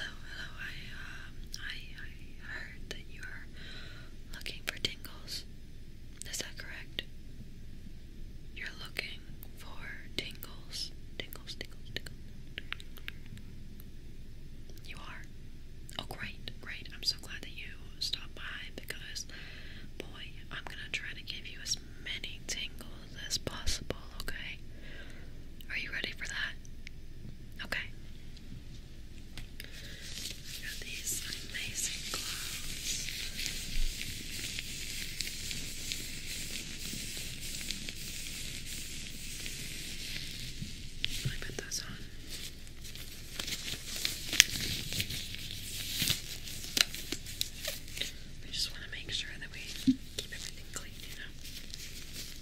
Hello, hello. I um I I heard that you are looking for tingles. Is that correct? You're looking for tingles. Tingles, tingles, tingles. You are? Oh great, great. I'm so glad that you stopped by because boy, I'm gonna try to give you as many tingles as possible okay? Are you ready for that? Okay. these amazing gloves. Let put those on. I just want to make sure that we keep everything clean, you know?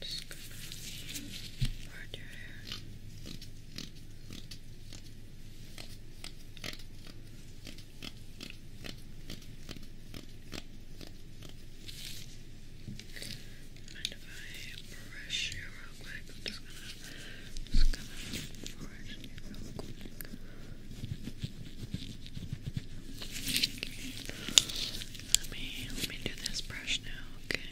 Just gonna part your hair. Mind if I brush you real quick? I'm just gonna, just gonna brush you real let me let me do this brush now, okay?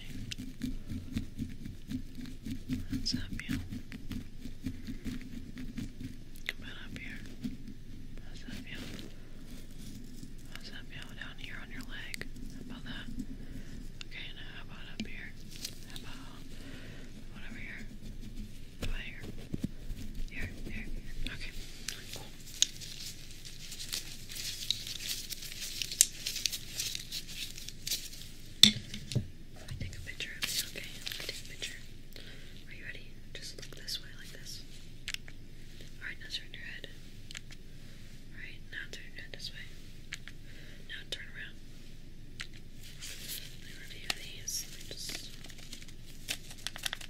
What's up, you? Come on up here. What's up, you? What's up, you? Down here on your leg. How that? Okay, now how up here? How about what over here? here? Here, here. Okay, let me take a picture of you, okay? take a picture. Are you ready? Just look this way, like this. Alright, now turn your head. Alright, now turn your head this way. Now turn around. Let me review these.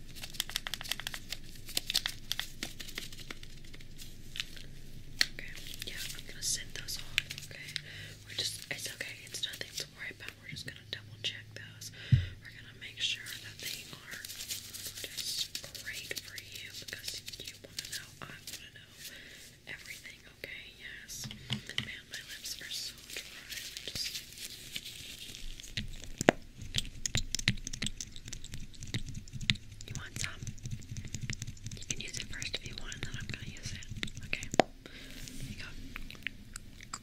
Okay, yeah, I'm gonna send those off, okay? We're just, it's okay, it's nothing to worry about. We're just gonna double check those. We're gonna make sure that they are just great for you because you wanna know, I wanna know everything, okay? Yes. Man, my lips are so dry. You want some? You can use it first if you want, and then I'm gonna use it. Okay. Here you go. Okay,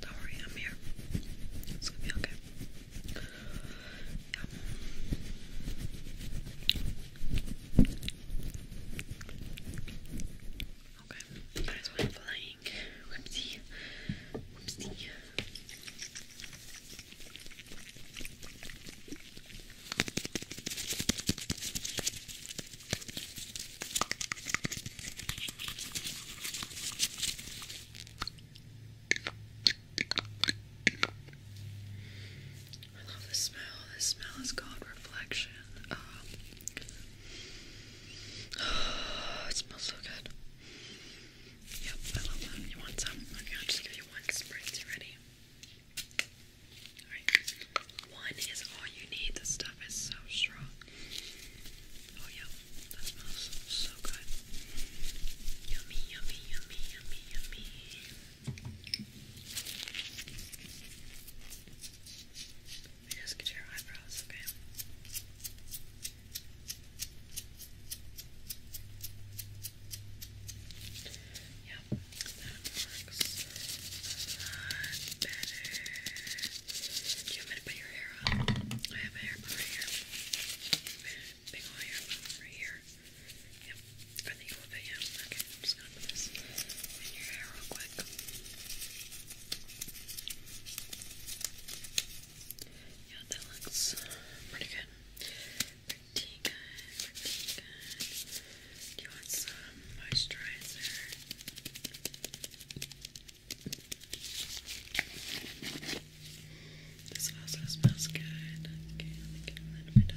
Don't worry, I'm here. It's gonna be okay. Okay, that's why i flying. Whoopsie. Whoopsie. I love the smell. This smell is called Reflection. oh, it smells so good. Yep, I love that. You want some? Okay, I'll just give you one spritz. You ready? One is all you need. This stuff is so strong. Oh yeah, that smells so good. Yummy, yummy, yummy, yummy, yummy. Let me just get your eyebrows, okay? Yep, that works better. Do me to I have a hair bun right here. Big old hair right here. Yep. I think it will fit Okay, I'm just gonna put this in your hair real quick. Yeah, that looks pretty good. Pretty good, pretty good. Do you want some moisturizer? This also smells good. Okay, let me get that